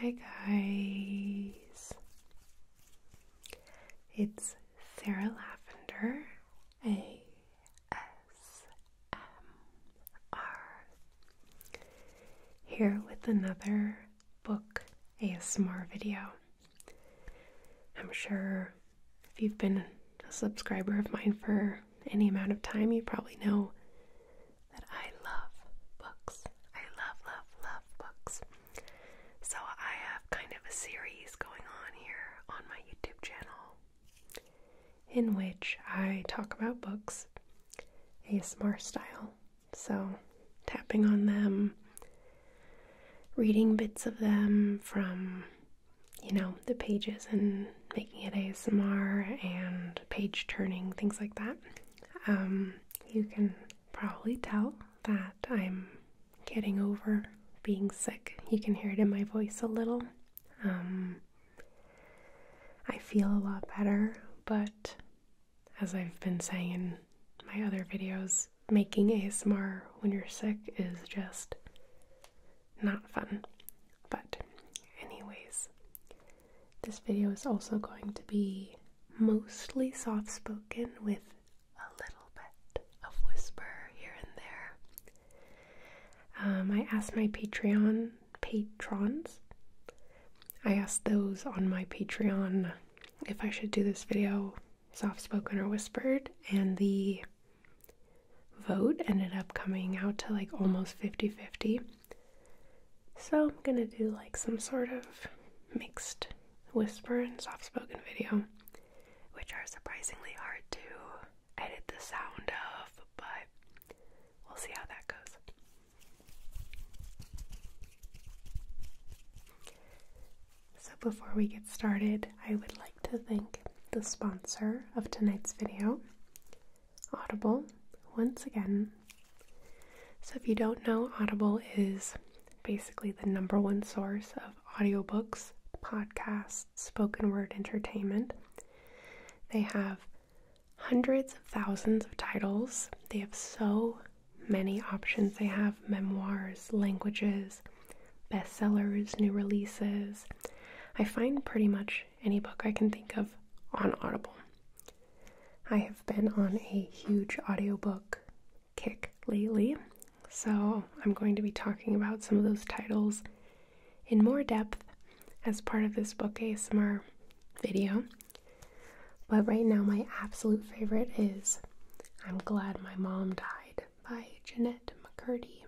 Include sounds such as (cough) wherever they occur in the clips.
Hi, guys. It's Sarah Lavender ASMR here with another book ASMR video. I'm sure if you've been a subscriber of mine for any amount of time, you probably know that I love books. I love, love, love books. So I have kind of a series going on here on my YouTube channel in which I talk about books ASMR style. So tapping on them, reading bits of them from you know, the pages and making it ASMR and page turning, things like that. Um, you can probably tell that I'm getting over being sick. You can hear it in my voice a little. Um, I feel a lot better, but as I've been saying in my other videos, making ASMR when you're sick is just not fun. But, anyways, this video is also going to be mostly soft spoken with a little bit of whisper here and there. Um, I asked my Patreon patrons, I asked those on my Patreon if I should do this video soft spoken or whispered, and the vote ended up coming out to like almost 50 50. So I'm gonna do like some sort of mixed whisper and soft spoken video, which are surprisingly hard to edit the sound of, but we'll see how that goes. So, before we get started, I would like to thank the sponsor of tonight's video, Audible, once again. So, if you don't know, Audible is basically the number one source of audiobooks, podcasts, spoken word entertainment. They have hundreds of thousands of titles. They have so many options. They have memoirs, languages, bestsellers, new releases. I find pretty much any book I can think of on Audible. I have been on a huge audiobook kick lately, so I'm going to be talking about some of those titles in more depth as part of this book ASMR video. But right now, my absolute favorite is I'm Glad My Mom Died by Jeanette McCurdy.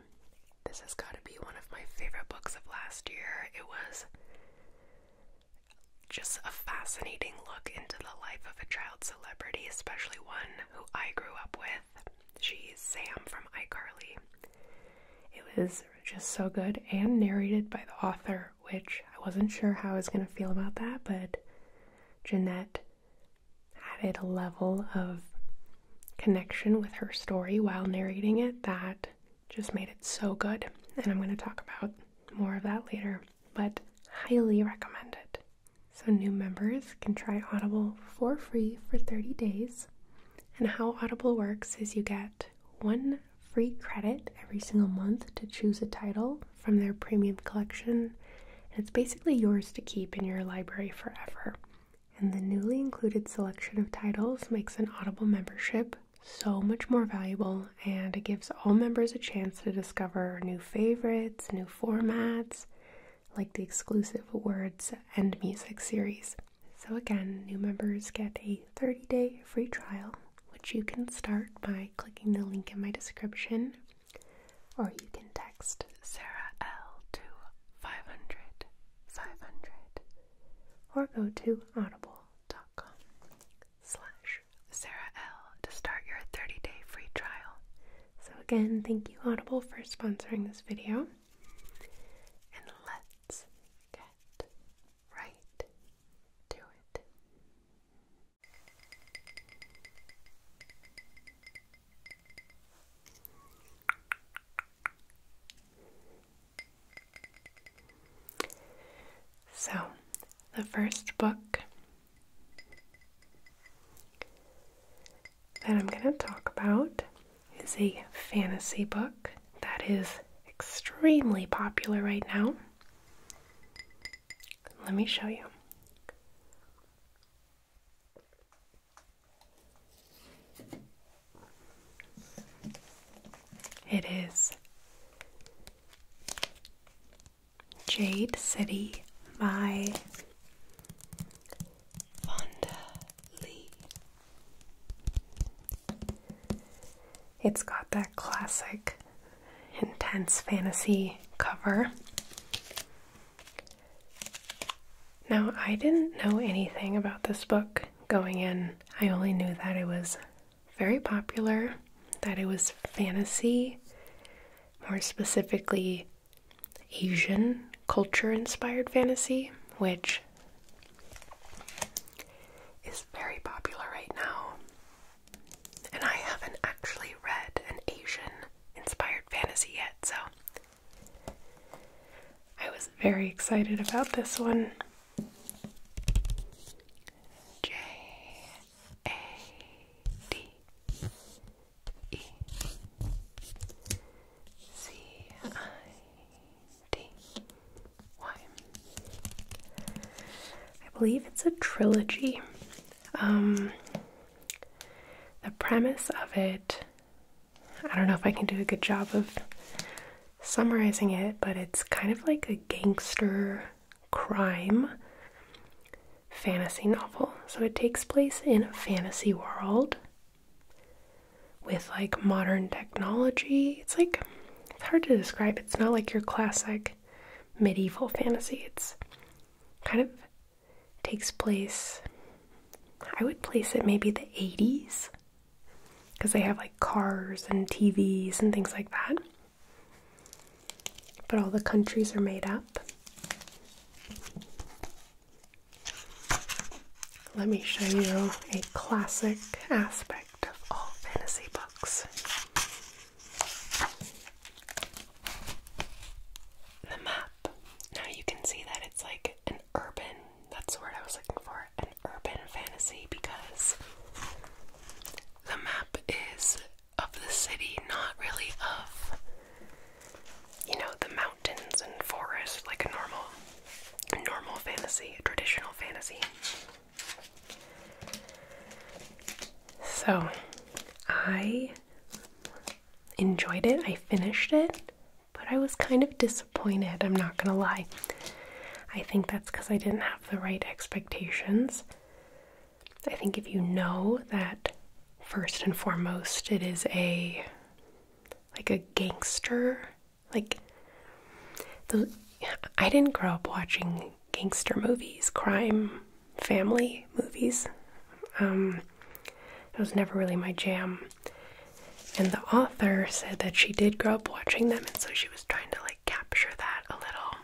This has got to be one of my favorite books of last year. It was just a fascinating look into the life of a child celebrity, especially one who I grew up with. She's Sam from iCarly. It was just so good and narrated by the author, which I wasn't sure how I was going to feel about that, but Jeanette added a level of connection with her story while narrating it that just made it so good. And I'm going to talk about more of that later, but highly recommend it. So, new members can try Audible for free for 30 days. And how Audible works is you get one free credit every single month to choose a title from their premium collection. And it's basically yours to keep in your library forever and the newly included selection of titles makes an Audible membership so much more valuable and it gives all members a chance to discover new favorites, new formats, like the exclusive words and music series. So, again, new members get a 30 day free trial, which you can start by clicking the link in my description, or you can text Sarah L to 500 500 or go to audible.com slash Sarah L to start your 30-day free trial. So again, thank you Audible for sponsoring this video. And let's get right to it. So, the first book that I'm going to talk about is a fantasy book that is extremely popular right now. Let me show you. It is Jade City by Fonda Lee. It's got that classic intense fantasy cover. Now, I didn't know anything about this book going in. I only knew that it was very popular, that it was fantasy, more specifically, Asian culture inspired fantasy, which is very popular right now. And I haven't actually read an Asian inspired fantasy yet, so I was very excited about this one. J A D E C I D Y. I believe it's a trilogy. Um, the premise of it I don't know if I can do a good job of summarizing it, but it's kind of like a gangster crime fantasy novel. So it takes place in a fantasy world with like modern technology. It's like it's hard to describe. It's not like your classic medieval fantasy. It's kind of takes place I would place it maybe the 80s because they have like cars and TVs and things like that. But all the countries are made up. Let me show you a classic aspect of all fantasy books. The map. Now you can see that it's like an urban that's the word I was looking for an urban fantasy because the map is of the city, not really of, you know, the mountains and forest like a normal, normal fantasy, a traditional fantasy. So I enjoyed it, I finished it but I was kind of disappointed, I'm not gonna lie. I think that's because I didn't have the right expectations. I think if you know that first and foremost it is a like a gangster like the I didn't grow up watching gangster movies, crime, family movies. Um it was never really my jam. And the author said that she did grow up watching them, and so she was trying to like capture that a little.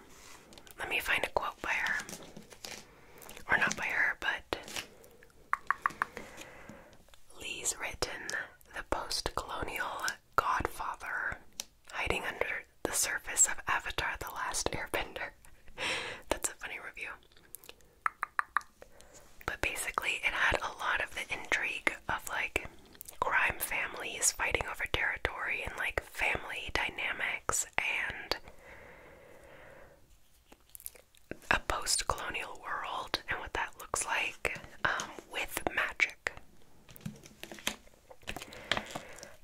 Let me find a quote by her. Or not by her, but Lee's written The Post Colonial Godfather Hiding Under the Surface of Avatar The Last (laughs) Airbender. That's a funny review. But basically, it had a lot of the intrigue of like crime families fighting over territory and like family dynamics and a post colonial world and what that looks like um, with magic.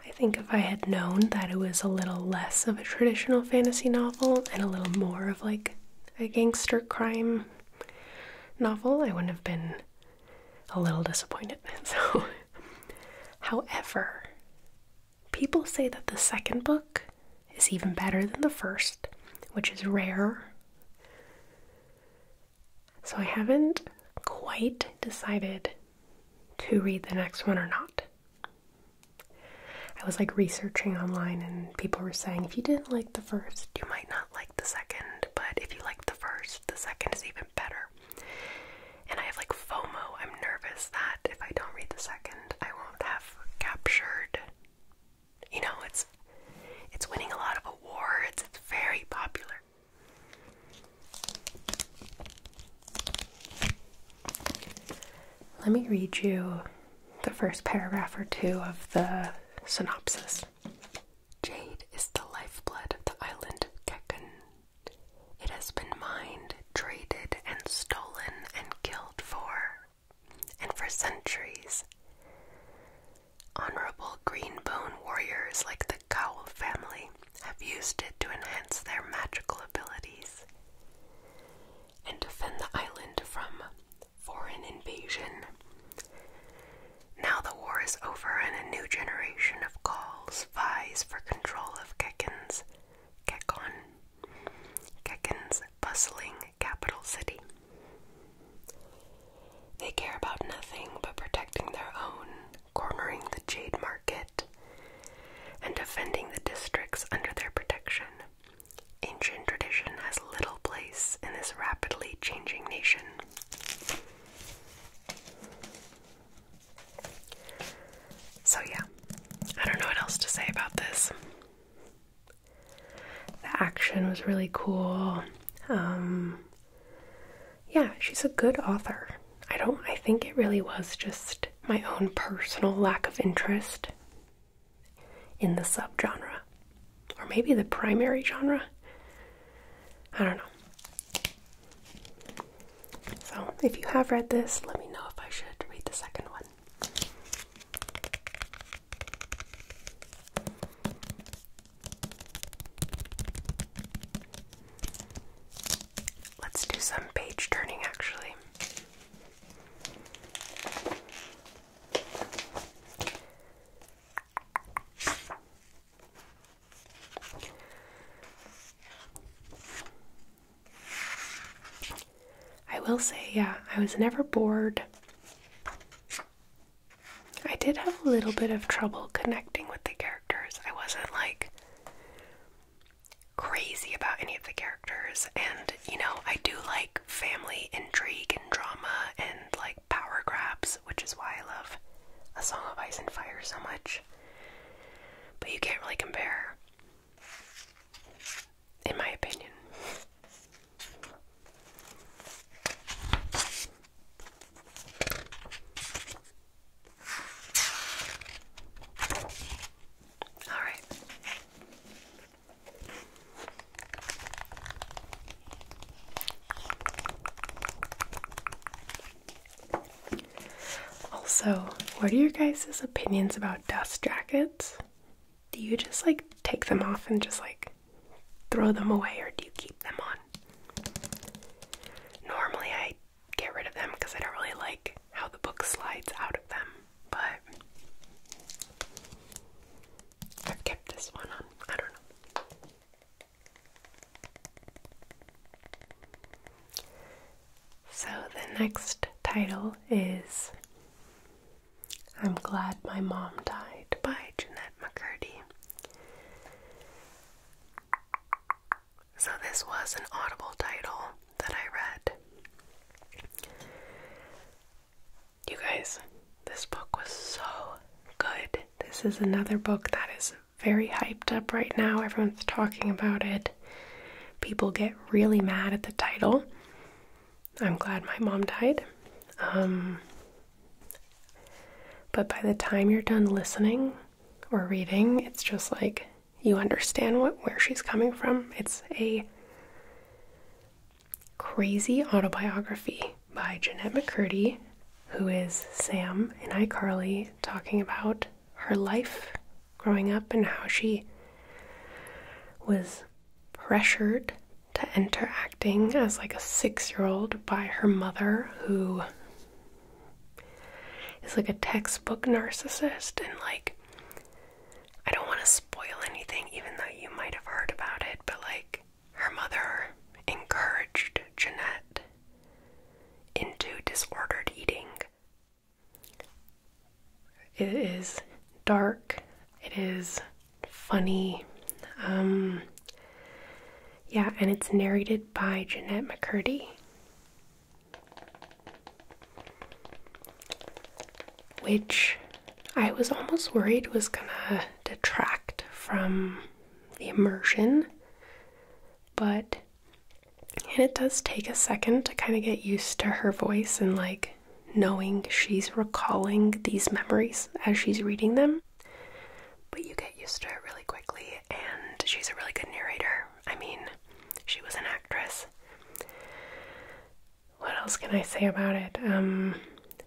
I think if I had known that it was a little less of a traditional fantasy novel and a little more of like a gangster crime novel, I wouldn't have been a little disappointed. (laughs) So, however, people say that the second book is even better than the first, which is rare. So, I haven't quite decided to read the next one or not. I was like researching online, and people were saying if you didn't like the first, you might not like the second, but if you like the first, the second is even better. And I have like FOMO. I'm nervous that if I don't read the second, I won't have captured. You know, it's it's winning a lot of awards. It's very popular. Let me read you the first paragraph or two of the synopsis. Jade is the lifeblood of the island of Kekun. It has been mined, traded, and stolen and killed for, and for centuries. Honorable bone warriors like the Cowell family have used it to enhance their magical abilities and defend the island from foreign invasion. Now the war is over and a new generation of Gauls vies for control of Kekon's Kekon, Keken's bustling capital city. They care about nothing but protecting their own, cornering the jade market, and defending the districts under their protection. Ancient tradition has little place in this rapidly changing nation. So, yeah, I don't know what else to say about this. The action was really cool. Um, yeah, she's a good author. I don't, I think it really was just my own personal lack of interest in the subgenre, or maybe the primary genre. I don't know. So, if you have read this, let me know if I should read the second one. Let's do some page turning actually. I will say, yeah, I was never bored. I did have a little bit of trouble connecting with the characters. I wasn't like crazy about any of the characters, and you know, I do like family intrigue and drama and like power grabs, which is why I love A Song of Ice and Fire so much. But you can't really compare, in my opinion. All right. Also, what are your guys' opinions about dust jackets? Do you just like take them off and just like throw them away, or do you keep them on? Normally, I get rid of them because I don't really like how the book slides out of them. But i kept this one I don't know. So the next title is I'm Glad My Mom Died by Jeanette McCurdy. So this was an audible title that I read. You guys, this book was so good. This is another book that is very hyped up right now. Everyone's talking about it. People get really mad at the title. I'm glad my mom died. Um, but by the time you're done listening or reading, it's just like you understand where she's coming from. It's a crazy autobiography by Jeanette McCurdy, who is Sam in iCarly, talking about her life growing up and how she was pressured to enter acting as like a six year old by her mother, who is like a textbook narcissist and like I don't want to spoil anything, even though you might have heard about it, but like her mother encouraged Jeanette into disordered eating. It is dark, it is funny, um, yeah, and it's narrated by Jeanette McCurdy which I was almost worried was gonna detract from the immersion, but and it does take a second to kind of get used to her voice and like knowing she's recalling these memories as she's reading them. But you get used to it really quickly, and she's a really good narrator. I mean, she was an actress what else can I say about it? Um,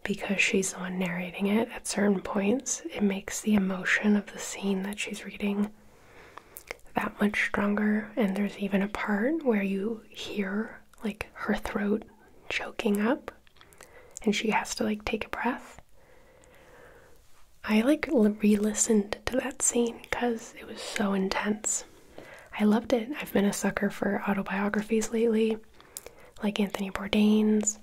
because she's the one narrating it at certain points, it makes the emotion of the scene that she's reading that much stronger. And there's even a part where you hear like her throat choking up and she has to like take a breath. I like re listened to that scene because it was so intense. I loved it. I've been a sucker for autobiographies lately, like Anthony Bourdain's.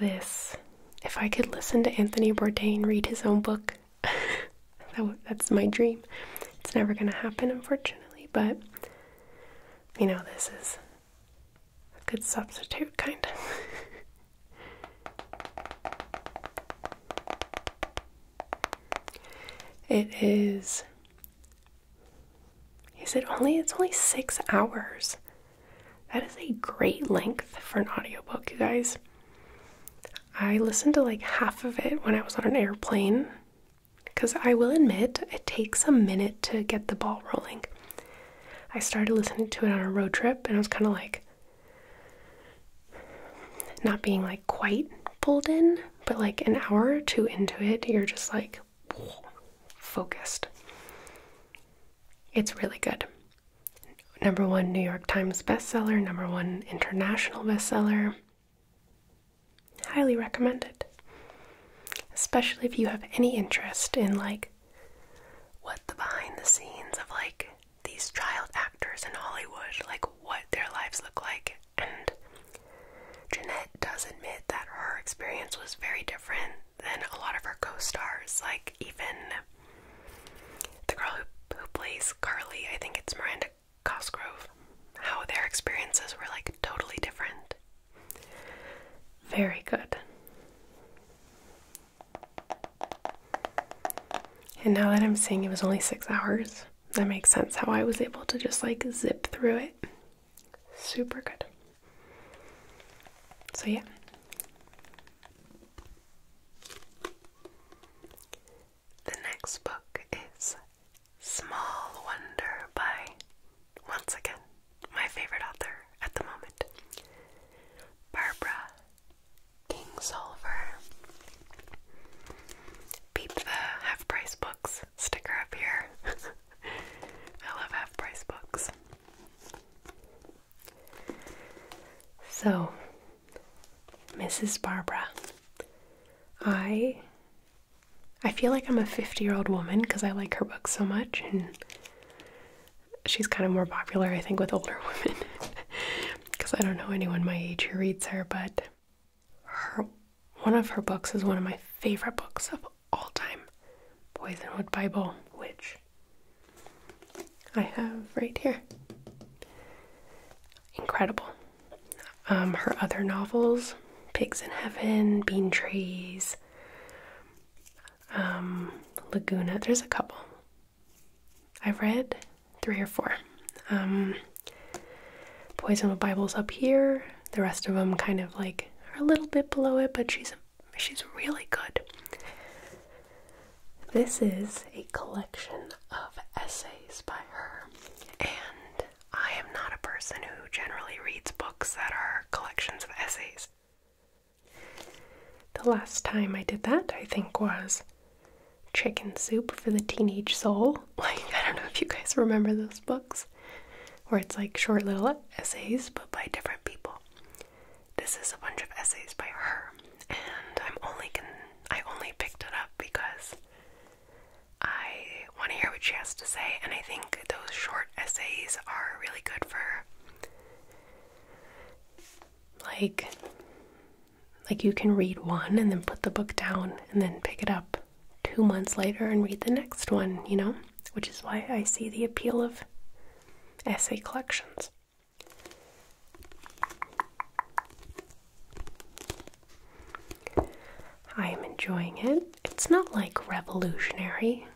This, if I could listen to Anthony Bourdain read his own book, (laughs) that's my dream. It's never going to happen, unfortunately, but you know, this is a good substitute, kind of. (laughs) It is Is it only it's only 6 hours. That is a great length for an audiobook, you guys. I listened to like half of it when I was on an airplane cuz I will admit it takes a minute to get the ball rolling. I started listening to it on a road trip and I was kind of like not being like quite pulled in, but like an hour or two into it, you're just like focused. It's really good. Number one New York Times bestseller, number one international bestseller. Highly recommended, Especially if you have any interest in like what the behind the scenes of like these child actors in Hollywood, like what their lives look like and Jeanette does admit that her experience was very different than a lot of her co stars, like even the girl who, plays Carly, I think it's Miranda Cosgrove, how their experiences were like totally different. Very good. And now that I'm seeing it was only six hours, that makes sense how I was able to just like zip through it. Super good. So, yeah. The next book is Small Wonder by, once again, my favorite author at the moment, Barbara Kingsolver. Beat the half price books sticker up here. (laughs) I love half price books. So, Mrs. Barbara, I I feel like I'm a 50-year-old woman because I like her books so much and she's kind of more popular I think with older (laughs) women because I don't know anyone my age who reads her, but her one of her books is one of my favorite books of all time, Poisonwood Bible, which I have right here. Incredible. Um, her other novels, Pigs in Heaven, Bean Trees, um, Laguna. There's a couple. I've read three or four. Um, Poison with Bible's up here. The rest of them kind of like are a little bit below it, but she's she's really good. This is a collection of essays by her, and I am not a person who generally reads books that are collections of essays. The last time I did that, I think, was Chicken Soup for the Teenage Soul. (laughs) Like, I don't know if you guys remember those books, where it's like short little essays, but by different people. This is a bunch of essays by her, and I'm only can I only picked it up because I want to hear what she has to say, and I think those short essays are really good for like like you can read one and then put the book down and then pick it up two months later and read the next one, you know? Which is why I see the appeal of essay collections. I am enjoying it. It's not like revolutionary,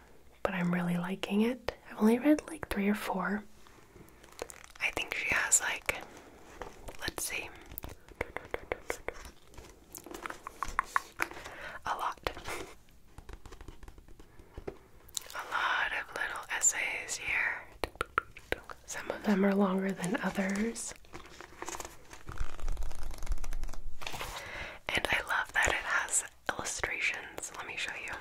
but I'm really liking it. I've only read like three or four. I think she has like, let's see, a lot. A lot of little essays here. Some of them are longer than others. And I love that it has illustrations. Let me show you.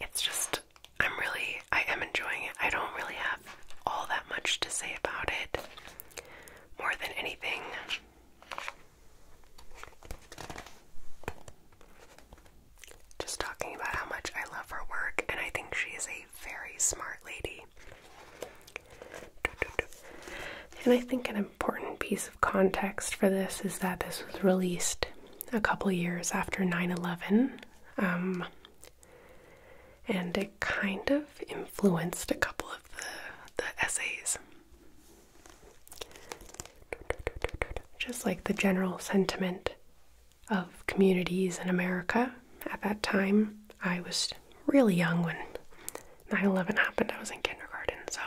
It's just, I'm really, I am enjoying it. I don't really have all that much to say about it. More than anything, just talking about how much I love her work, and I think she is a very smart lady. And I think an important piece of context for this is that this was released a couple years after 9 11. Um, and it kind of influenced a couple of the essays. Just like the general sentiment of communities in America at that time, I was really young when 9 11 happened. I was in kindergarten, so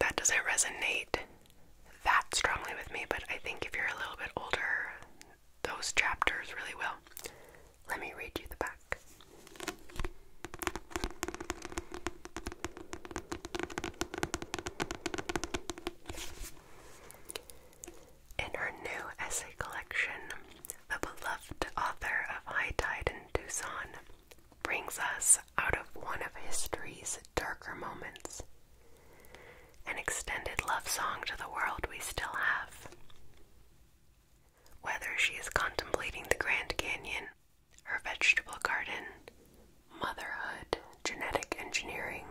that doesn't resonate that strongly with me, but I think if you're a little bit older, those chapters really will. Let me read you the back. In her new essay collection, the beloved author of High Tide in Tucson, brings us out of one of history's darker moments. An extended love song to the world we still have. Whether she is contemplating the Grand Canyon, her vegetable garden, motherhood, genetic engineering,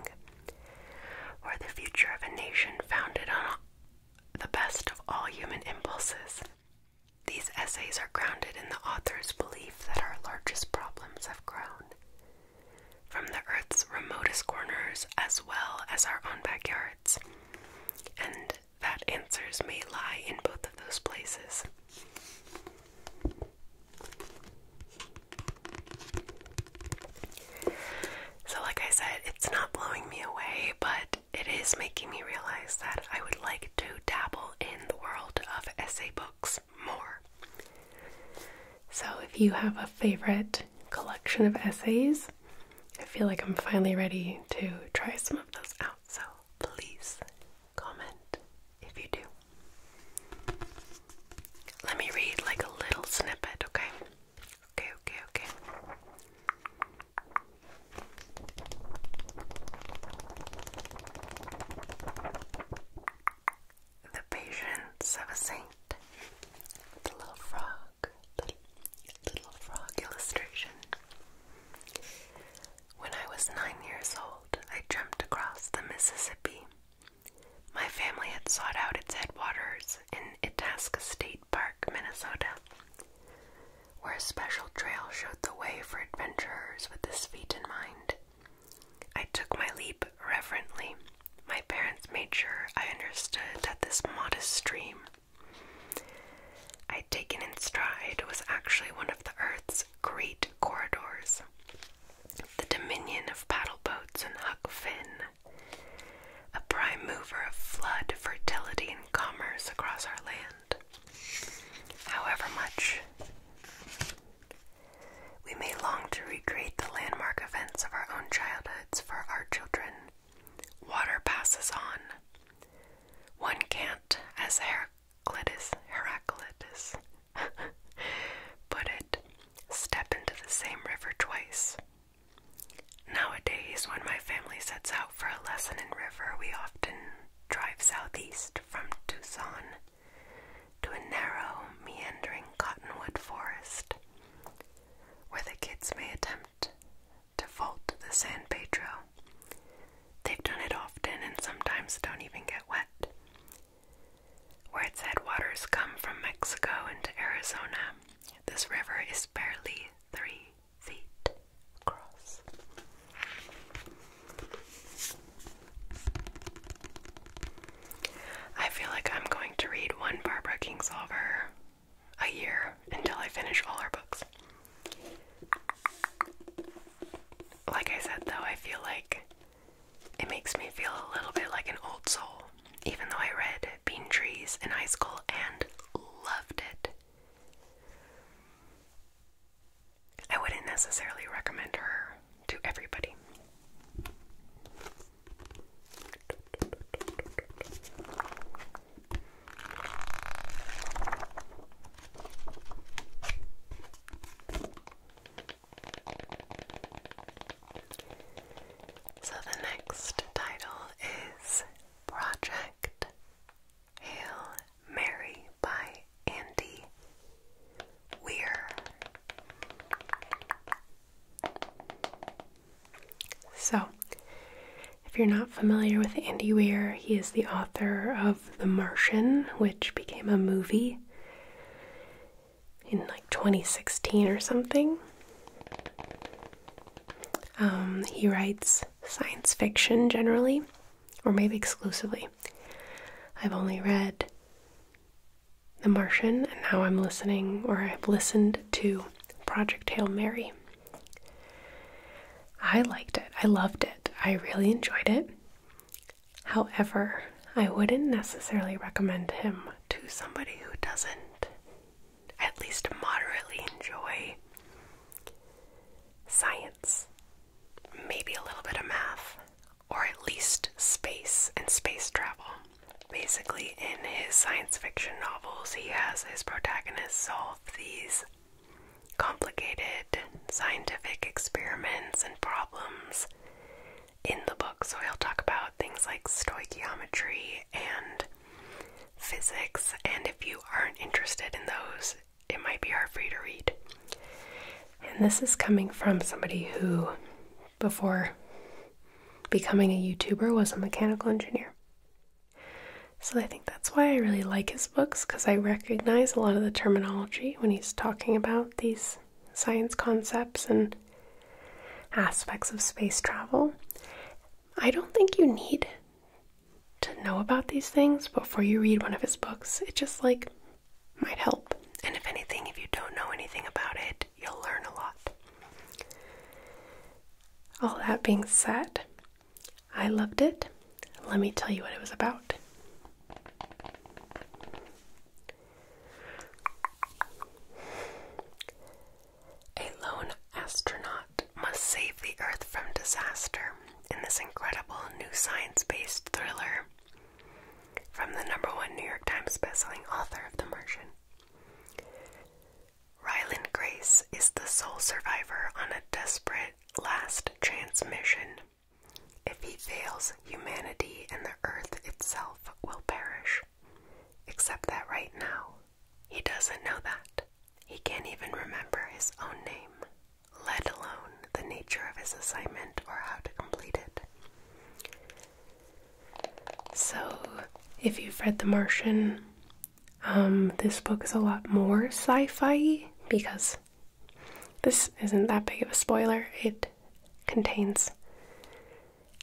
or the future of a nation founded on the best of all human impulses. These essays are grounded in the author's belief that our largest problems have grown. From the Earth's remotest corners as well as our own backyards. And that answers may lie in both of those places. So, like I said, it's not blowing me away, but it is making me realize that I would like to dabble in the world of essay books more. So, if you have a favorite collection of essays, I feel like I'm finally ready to try some of those out. So, please comment if you do. Let me read like a little snippet, okay? Okay, okay, okay. The patience of a saint. The little frog. Little, little frog illustration. When I was nine years old, I jumped across the Mississippi. My family had sought out its headwaters in Itasca State Park, Minnesota, where a special trail showed the way for adventurers with this feat in mind. I took my leap reverently. My parents made sure I understood that this modest stream I'd taken in stride was actually one of the Earth's great corridors. The dominion of paddleboats and Huck Finn a prime mover of flood, fertility, and commerce across our land. However much we may long to recreate the landmark events of our own childhoods for our children, water passes on. One can't, as Heraclitus, Heraclitus (laughs) put it, step into the same river twice. Nowadays, when my family sets out for a lesson in river, we often drive southeast from Tucson to a narrow, meandering cottonwood forest where the kids may attempt to vault the San Pedro. They've done it often and sometimes don't even get wet. Where its headwaters come from Mexico into Arizona, this river is barely three feet across. I feel like I'm going to read one Barbara Kingsolver a year until I finish all her books. Like I said, though, I feel like it makes me feel a little bit like an old soul, even though I read Bean Trees in high school and loved it. I wouldn't necessarily recommend her to everybody. So the next title is Project Hail Mary by Andy Weir. So, if you're not familiar with Andy Weir, he is the author of The Martian, which became a movie in like 2016 or something. Um, he writes science fiction generally, or maybe exclusively. I've only read The Martian, and now I'm listening, or I've listened to Project Hail Mary. I liked it. I loved it. I really enjoyed it. However, I wouldn't necessarily recommend him to somebody who doesn't at least moderately enjoy science, maybe a little bit of math, or at least space and space travel. Basically, in his science fiction novels, he has his protagonists solve these complicated scientific experiments and problems in the book. So he'll talk about things like stoichiometry and physics, and if you aren't interested in those, it might be hard for you to read. And this is coming from somebody who, before becoming a YouTuber, was a mechanical engineer. So I think that's why I really like his books because I recognize a lot of the terminology when he's talking about these science concepts and aspects of space travel. I don't think you need to know about these things before you read one of his books. It just like might help. And if anything, if you don't know anything about it, you'll learn a lot. All that being said, I loved it. Let me tell you what it was about. A lone astronaut must save the Earth from disaster in this incredible new science based thriller from the number one New York Times bestselling author of The Martian. Ryland Grace is the sole survivor on a desperate last transmission. If he fails, humanity and the Earth itself will perish. Except that right now, he doesn't know that. He can't even remember his own name, let alone the nature of his assignment or how to complete it. So, if you've read The Martian, um, this book is a lot more sci fi because this isn't that big of a spoiler. It contains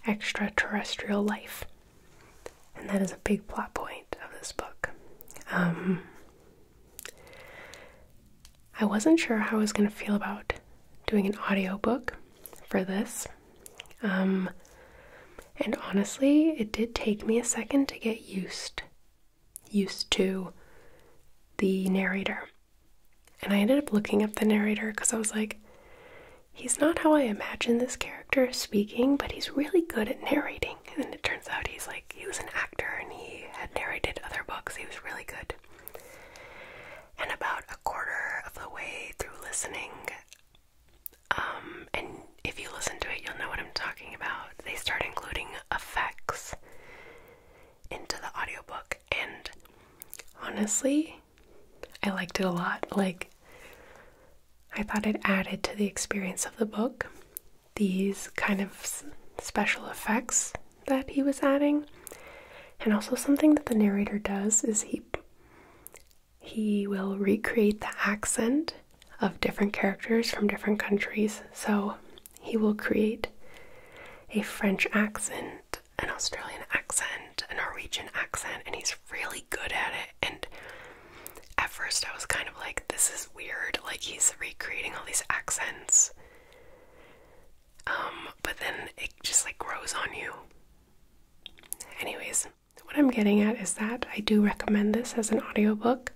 extraterrestrial life. And that is a big plot point of this book. Um, I wasn't sure how I was going to feel about doing an audiobook for this. Um, and honestly, it did take me a second to get used used to the narrator. And I ended up looking up the narrator cuz I was like he's not how I imagine this character speaking, but he's really good at narrating. And it turns out he's like, he was an actor and he had narrated other books. He was really good. And about a quarter of the way through listening, um, and if you listen to it, you'll know what I'm talking about. They start including effects into the audiobook, and honestly, I liked it a lot. Like, I thought it added to the experience of the book these kind of special effects that he was adding. And also something that the narrator does is he he will recreate the accent of different characters from different countries. So he will create a French accent, an Australian accent, a Norwegian accent, and he's really good at it. And at first, I was kind of like, this is weird, like, he's recreating all these accents. Um, but then it just like grows on you. Anyways, what I'm getting at is that I do recommend this as an audiobook.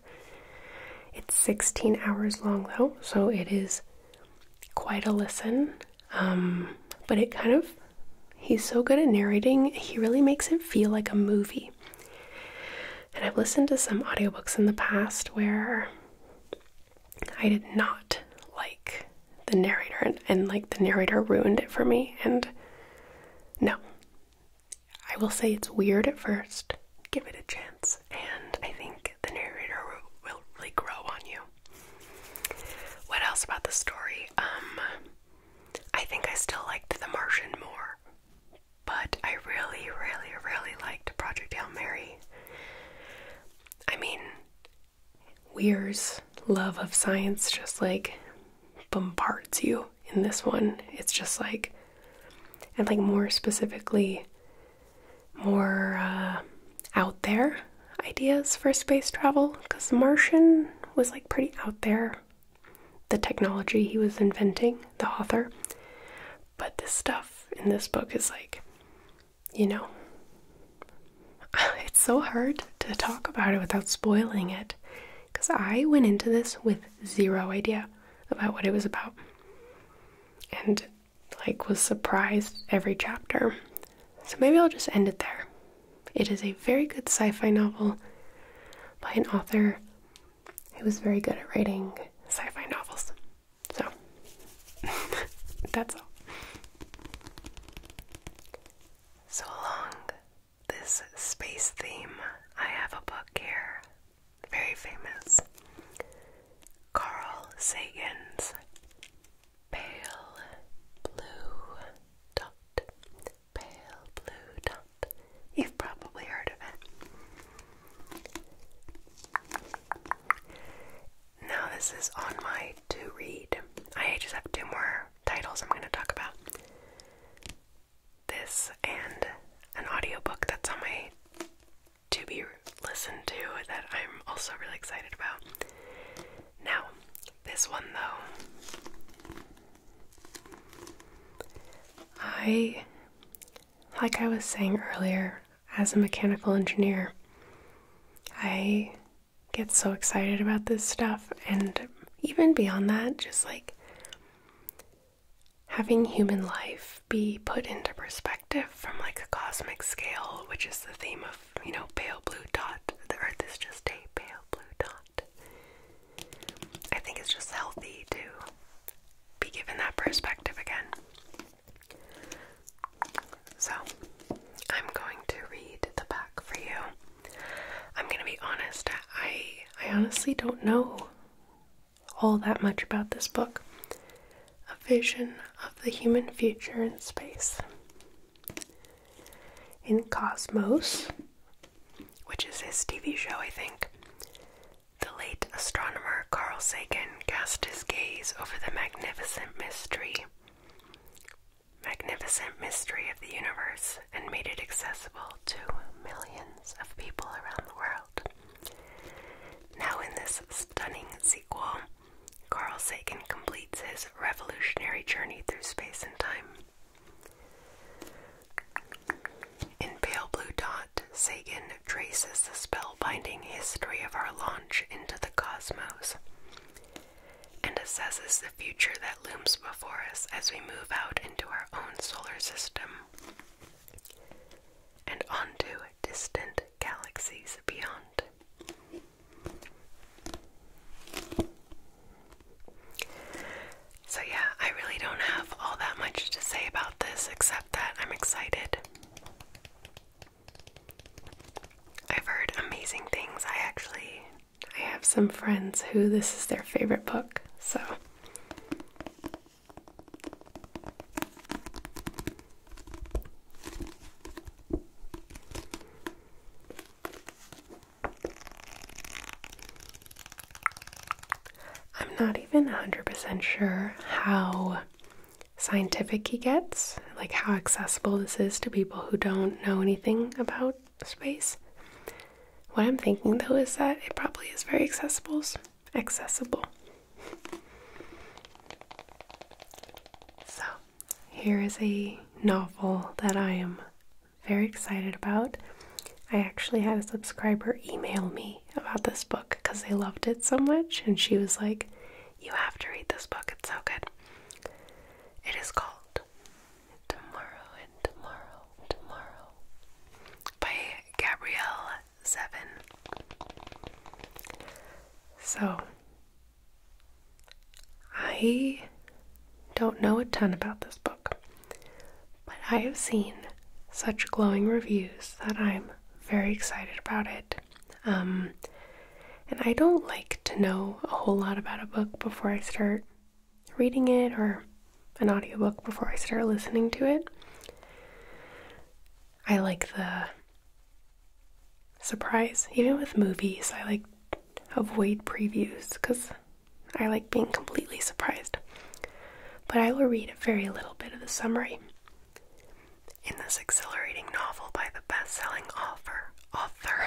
It's 16 hours long though, so it is quite a listen. Um, but it kind of He's so good at narrating, he really makes it feel like a movie. And I've listened to some audiobooks in the past where I did not like the narrator, and like the narrator ruined it for me. And no, I will say it's weird at first. Give it a chance, and I think the narrator will really grow on you. What else about the story? Um, I think I still liked The Martian more, but I really, really, really liked Project Hail Mary. I mean, Weir's love of science just like bombards you in this one. It's just like, and like more specifically, more uh, out there ideas for space travel because Martian was like pretty out there the technology he was inventing, the author. But this stuff in this book is like, you know, (laughs) it's so hard to talk about it without spoiling it because I went into this with zero idea about what it was about and like was surprised every chapter. So maybe I'll just end it there. It is a very good sci fi novel by an author who was very good at writing sci fi novels. So, (laughs) that's all. So, along this space theme, I have a book here, very famous Carl Sagan's Pale Blue Dot pale blue dot. You've probably heard of it. Now, this is on my to read. I just have two more titles I'm going to talk about this and an audiobook that's on my to be listened to that I'm also really excited about. Now, this one though, I, like I was saying earlier, as a mechanical engineer, I get so excited about this stuff, and even beyond that, just like having human life be put into perspective from like a cosmic scale, which is the theme of, you know, pale blue dot. The earth is just a pale blue dot. I think it's just healthy to be given that perspective again. So, I'm going to read the back for you. I'm going to be honest, I I honestly don't know all that much about this book. A Vision of the Human Future in Space. In Cosmos, which is his TV show, I think, the late astronomer Carl Sagan cast his gaze over the magnificent mystery magnificent mystery of the universe and made it accessible to millions of people around the world. Now, in this stunning sequel, Carl Sagan completes his revolutionary journey through space and time. In Pale Blue Dot, Sagan traces the spellbinding history of our launch into the cosmos and assesses the future that looms before us as we move out into our own solar system and onto distant galaxies beyond. So, yeah, I really don't have all that much to say about this except that I'm excited. I've heard amazing things. I actually I have some friends who this is their favorite book. So I'm not even 100% sure how scientific he gets, like how accessible this is to people who don't know anything about space. What I'm thinking though is that it probably is very accessible. Accessible. So, here is a novel that I am very excited about. I actually had a subscriber email me about this book because they loved it so much, and she was like, You have to read this book, it's so good. It is called Tomorrow and Tomorrow, Tomorrow by Gabrielle Zevin. So, I don't know a ton about this book, but I have seen such glowing reviews that I'm very excited about it. Um, and I don't like to know a whole lot about a book before I start reading it or an audiobook before I start listening to it. I like the surprise, even with movies, I like avoid previews because I like being completely surprised. But I will read a very little bit of the summary. In this exhilarating novel by the best selling author, author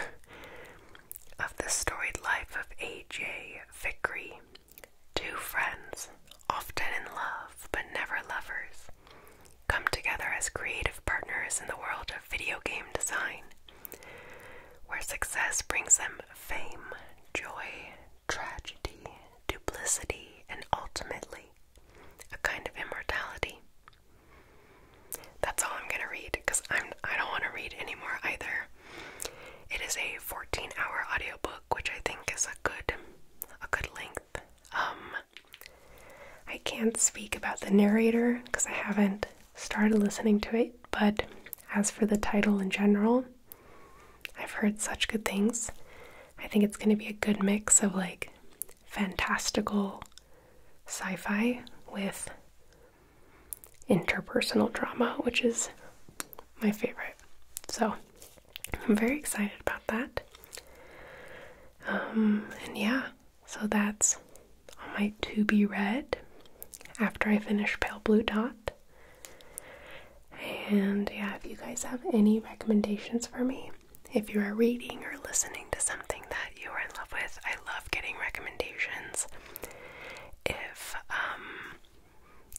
of The Storied Life of A.J. Vickery, two friends, often in love but never lovers, come together as creative partners in the world of video game design where success brings them fame, joy, tragedy, duplicity, and ultimately a kind of immortality. That's all I'm gonna read because I'm I don't want to read anymore either. It is a 14-hour audiobook, which I think is a good a good length. Um, I can't speak about the narrator because I haven't started listening to it, but as for the title in general, I've heard such good things. I think it's going to be a good mix of like fantastical sci fi with interpersonal drama, which is my favorite. So I'm very excited about that. Um, and yeah, so that's on my to be read after I finish Pale Blue Dot. And yeah, if you guys have any recommendations for me, if you are reading or listening to something that you are in love with, I love getting recommendations. If, um,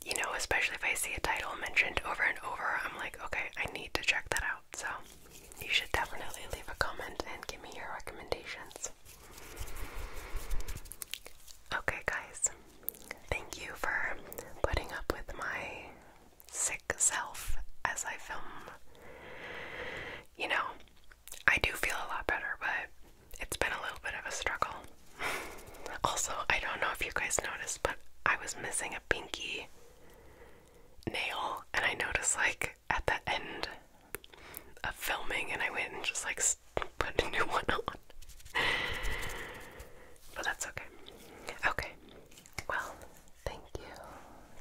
you know, especially if I see a title mentioned over and over, I'm like, okay, I need to check that out. So you should definitely leave a comment and give me your recommendations. Okay, guys, thank you for putting up with my sick self as I film. You know, I do feel a lot better, but it's been a little bit of a struggle. (laughs) also, I don't know if you guys noticed, but I was missing a pinky nail, and I noticed like at the end of filming and I went and just like put a new (laughs) one on. but that's okay. Okay. Well, thank you.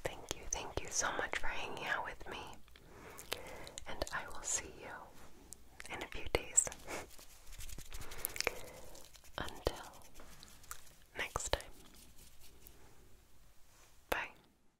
Thank you. Thank you so much for hanging out with me. And I will see you in a few days. (laughs) Until next time. Bye.